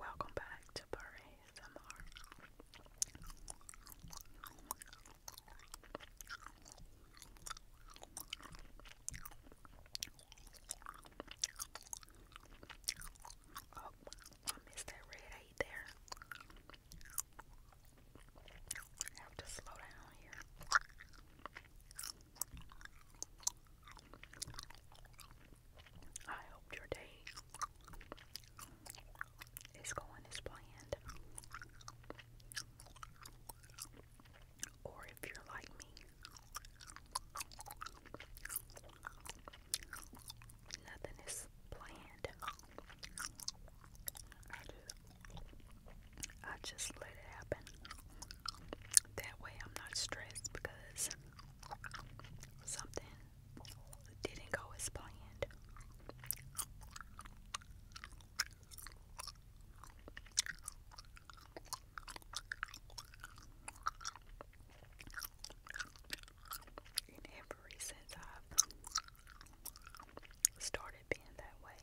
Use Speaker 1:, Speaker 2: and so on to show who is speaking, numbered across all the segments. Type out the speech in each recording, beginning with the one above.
Speaker 1: Welcome back to Parade ASMR. Oh, I missed that red eight there. have to slow down here. I hope your day is going as planned. Or if you're like me, nothing is planned. I just let it happen. That way I'm not stressed because something didn't go as planned. And ever since I've started being that way,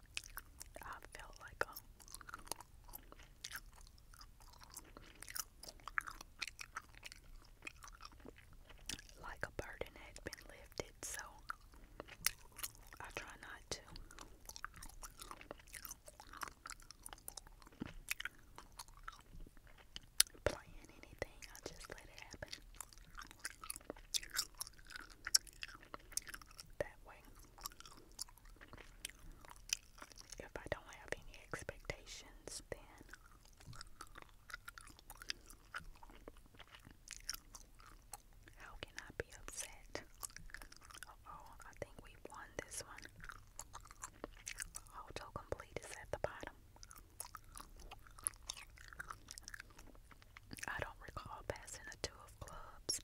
Speaker 1: I feel like a um, like a burden had been lifted, so I try not to. Playing anything, I just let it happen. That way, if I don't have any expectations, then how can I be upset? oh, I think we won this one. Auto complete is at the bottom. I don't recall passing a two of clubs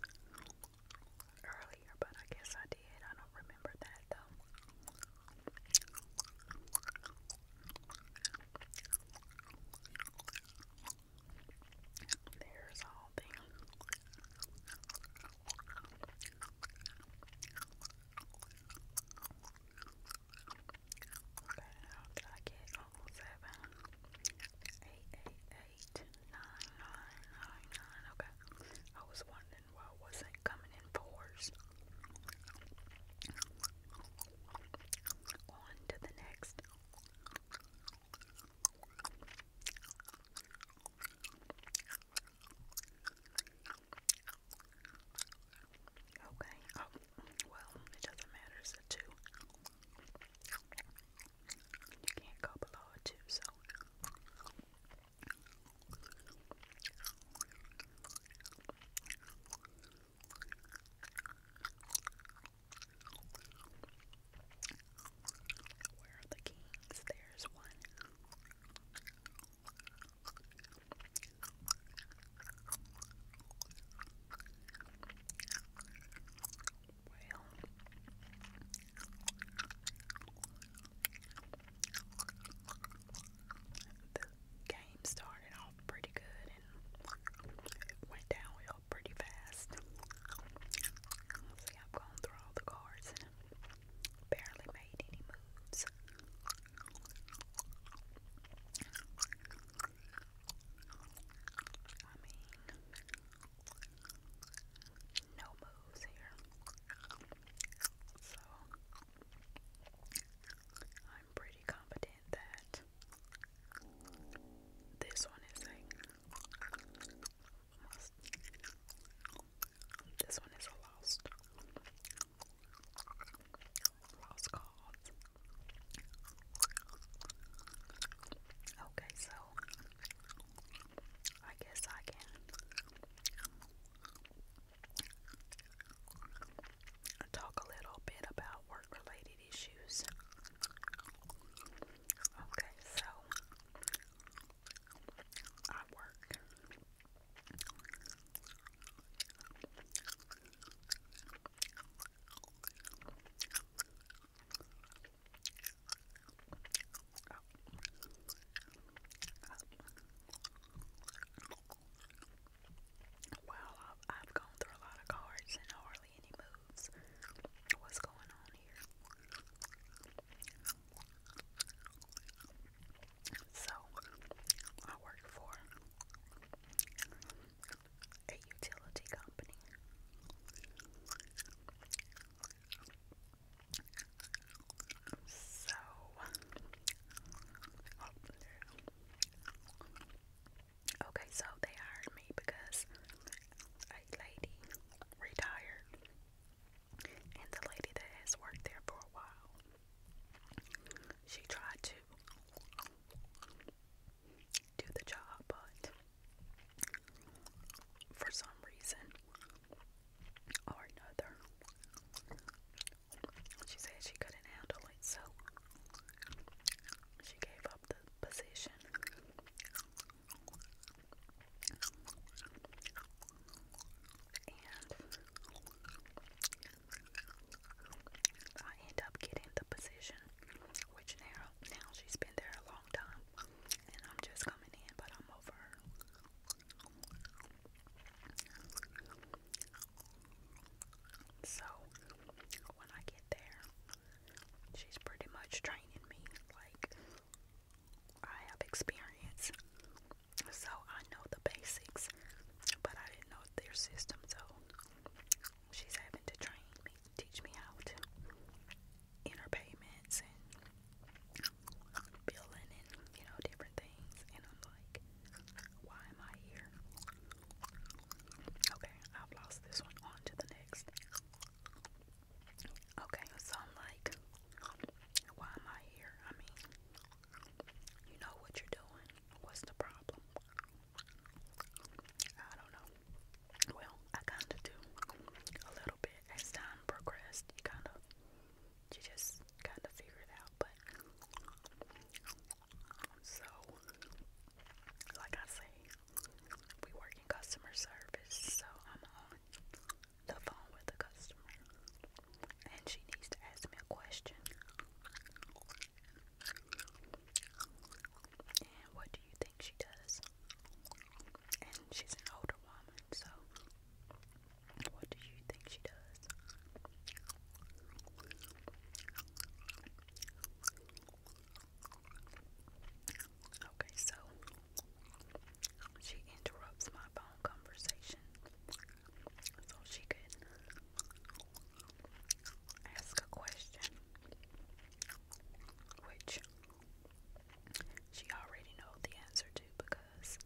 Speaker 1: earlier, but I guess I did. I don't remember that though. There's all the Okay, I get almost seven? Eight, eight, eight, nine, nine, nine, nine. Okay. I was wondering why I wasn't coming in fours. On to the next. Okay. Oh, well, it doesn't matter. It's a two. You can't go below it so where are the kings? There's one. Well, the game started off pretty good and it went downhill pretty fast. See, I've gone through all the cards and barely made any moves. I mean, no moves here. So I'm pretty confident that this one is like this one is a lost lost cause. Okay, so I guess I can talk a little bit about work related issues. Okay, so I work. Wow, I've, gone through a lot of cards and hardly any moves. What's going on here? So, I work for a utility company. So, oh, okay, so they hired me because a lady retired, and the lady that has worked there for a while, she tried to do the job, but for some reason or another, she said she couldn't handle it, so she gave up the position. And I end up getting the position, which now now she's been there a time, and I'm just coming in, but I'm over So when I get there, she's pretty much training me. Like I have experience, so I know the basics, but I didn't know their system, so she's having to train me, teach me how to interpayments and billing and you know different things and I'm like why am I here? Okay, I've lost this one on to the next. Okay, so I'm like why am I here? I mean you know what you're doing. What's the problem? I don't know. Well, I kind of do a little bit as time progressed. You kind of, you just kind of figure it out. But so, like I say, we work in customer service, so I'm on the phone with the customer, and she needs to ask me a question. And what do you think she does? and she's an older woman, so what do you think she does? Okay, so she interrupts my phone conversation so she could ask a question, which she already knows the answer to because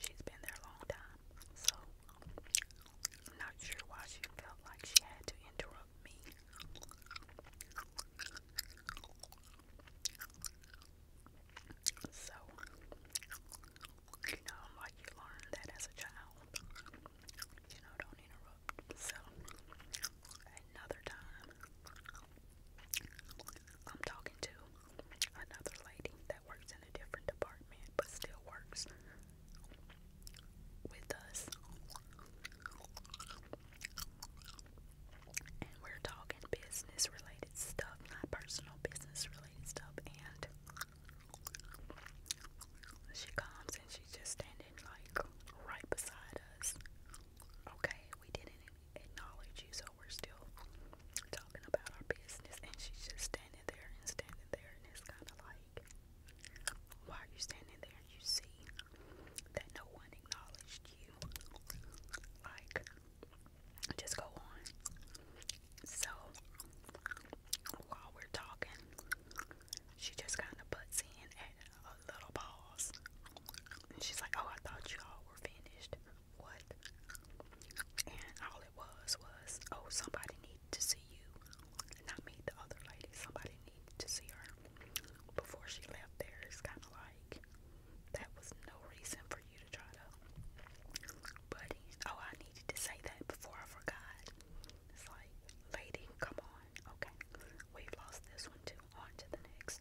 Speaker 1: she's been there a long time. So I'm not sure why she felt like she had to interrupt me. So, you know, like you learned that as a child, you know, don't interrupt. So, Another time, I'm talking to another lady that works in a different department but still works with us. And we're talking business related stuff, not personal business related stuff. And she comes and she's just standing like right beside us. Okay, we didn't acknowledge you, so we're still talking about our business. And she's just standing there and standing there, and it's kind of like, why are you standing there? You see that no one acknowledged you. Like, just go on. So, while we're talking, she just kind of butts in at a little pause. And she's like, Oh, I thought you all were finished. What? And all it was was, Oh, somebody needed to see you. Not me, the other lady. Somebody needed to see her. Before she left there, it's kind of like that was no reason for you to try to. Buddy, oh, I needed to say that before I forgot. It's like, lady, come on. Okay, we've lost this one too on to the next.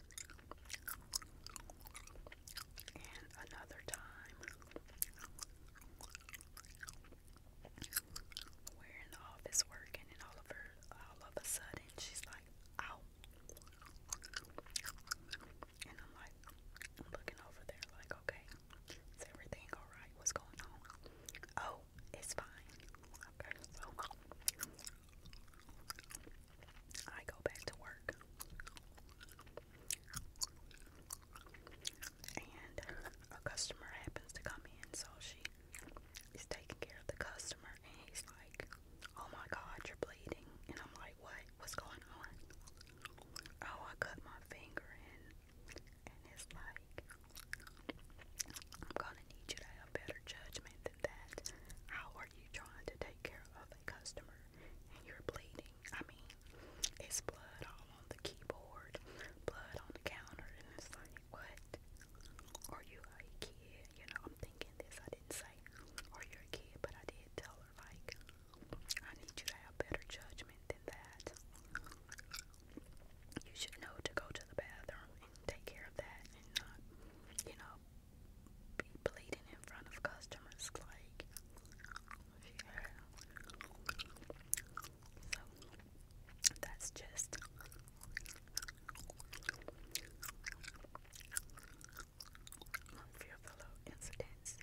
Speaker 1: And another time, we in the office working, and all of her, all of a sudden, she's like, "Ow!" And I'm like, I'm looking over there, like, "Okay, is everything all right? What's going on?" Oh, it's fine. Okay, so I go back to work. And a customer happens to come in, so she is taking care of the customer, and he's like, Oh my god, you're bleeding. And I'm like, What? What's going on? Oh, I cut my finger, and, and like, I'm gonna need you to have better judgment with that. How are you trying to take care of a customer and you're bleeding? I mean, it's blood all on the keyboard, blood on the counter, and it's like, what? Are you a kid? You know, I'm thinking this. I didn't say, are you a kid? But I did tell her, like, I need you to have better judgment than that. You should know to go to the bathroom and take care of that and not, you know, be bleeding in front of customers, like, yeah. So, that's just. Fearful incidents,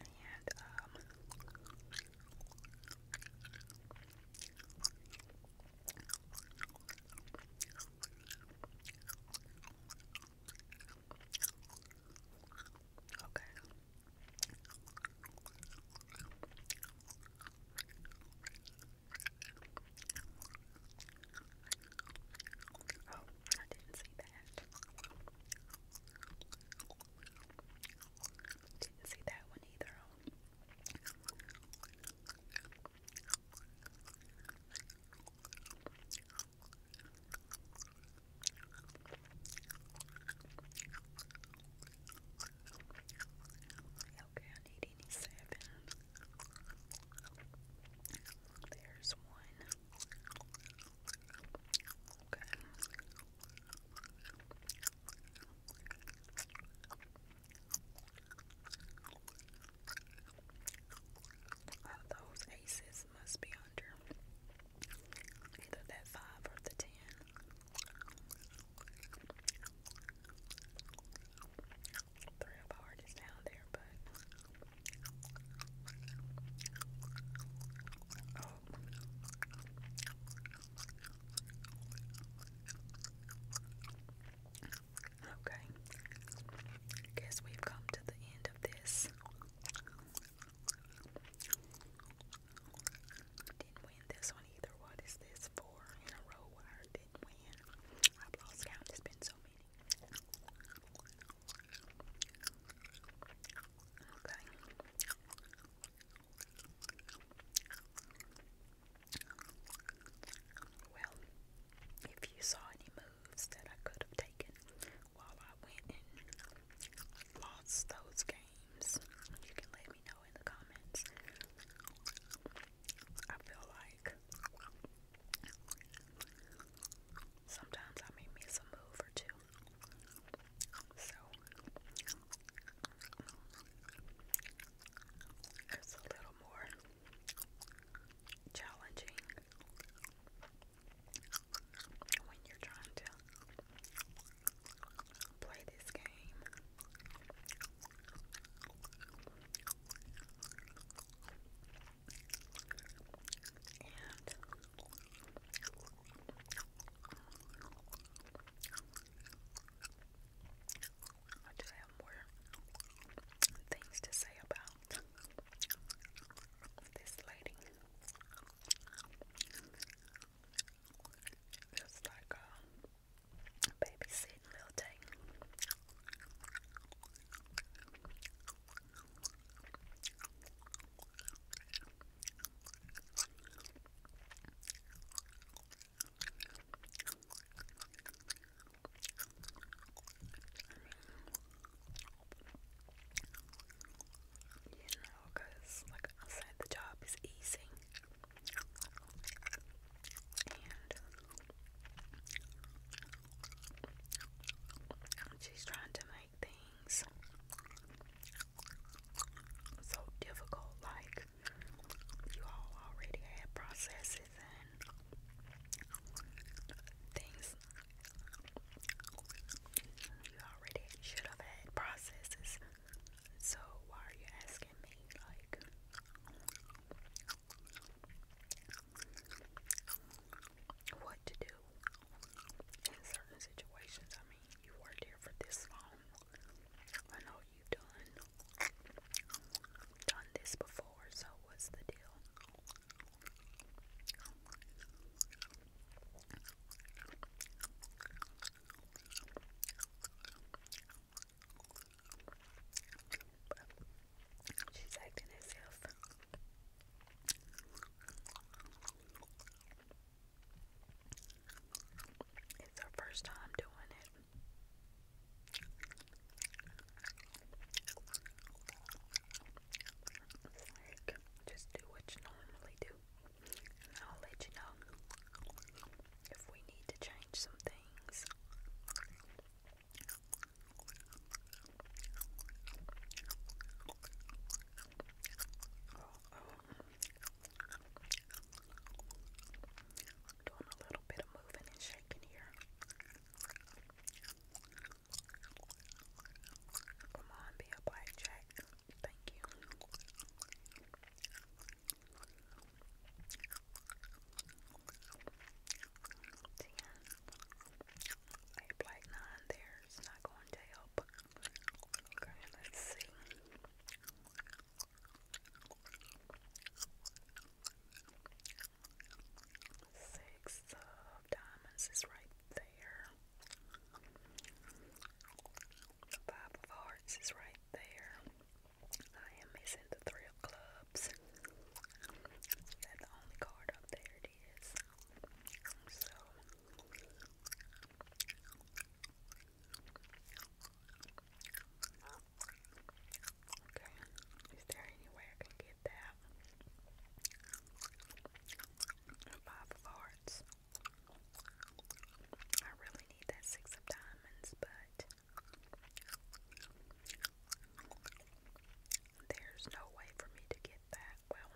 Speaker 1: and um, Okay. Oh, I didn't see that. Didn't see that one either on Okay, I need any seven. There's one. Okay. All those aces must be under either that five or the ten. Three of heart is down there, but Okay. Guess we've come to the end of this. Didn't win this one either. What is this? Four in a row I didn't win. I've lost count. There's been so many. Okay. Well, if you saw any moves that I could have taken while I went and lost those games, you can let me know in the comments. I feel like sometimes I may miss a move or two. So it's a little more challenging when you're trying to play this game. I do have more things to say about this lady. Just like a babysitting little you know, like I said, the job is easy, and she's trying to make things so difficult. Like you all already had processes and things you already should have had processes. So why are you asking me? Like, what to do in certain situations? I mean, you worked here for this long. I know you've done done this before, so what's the deal? She's acting as if it's her first time doing it. Like, just do what you normally do. And I'll let you know if we need to change some things. Doing a little bit of moving and shaking here. Come on, be a blackjack. Thank you. Ten. nine there. not going to help. Okay, let's see. Six of diamonds is right there. Five of hearts is right there. I am missing the three of clubs. That's the only card up there it is. So Okay, is there any way I can get that? Five of hearts. I really need that six of diamonds, but there's no way for me to get that. Well,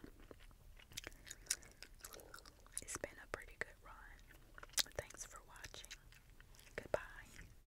Speaker 1: it's been a pretty good run. Thanks for watching. Goodbye.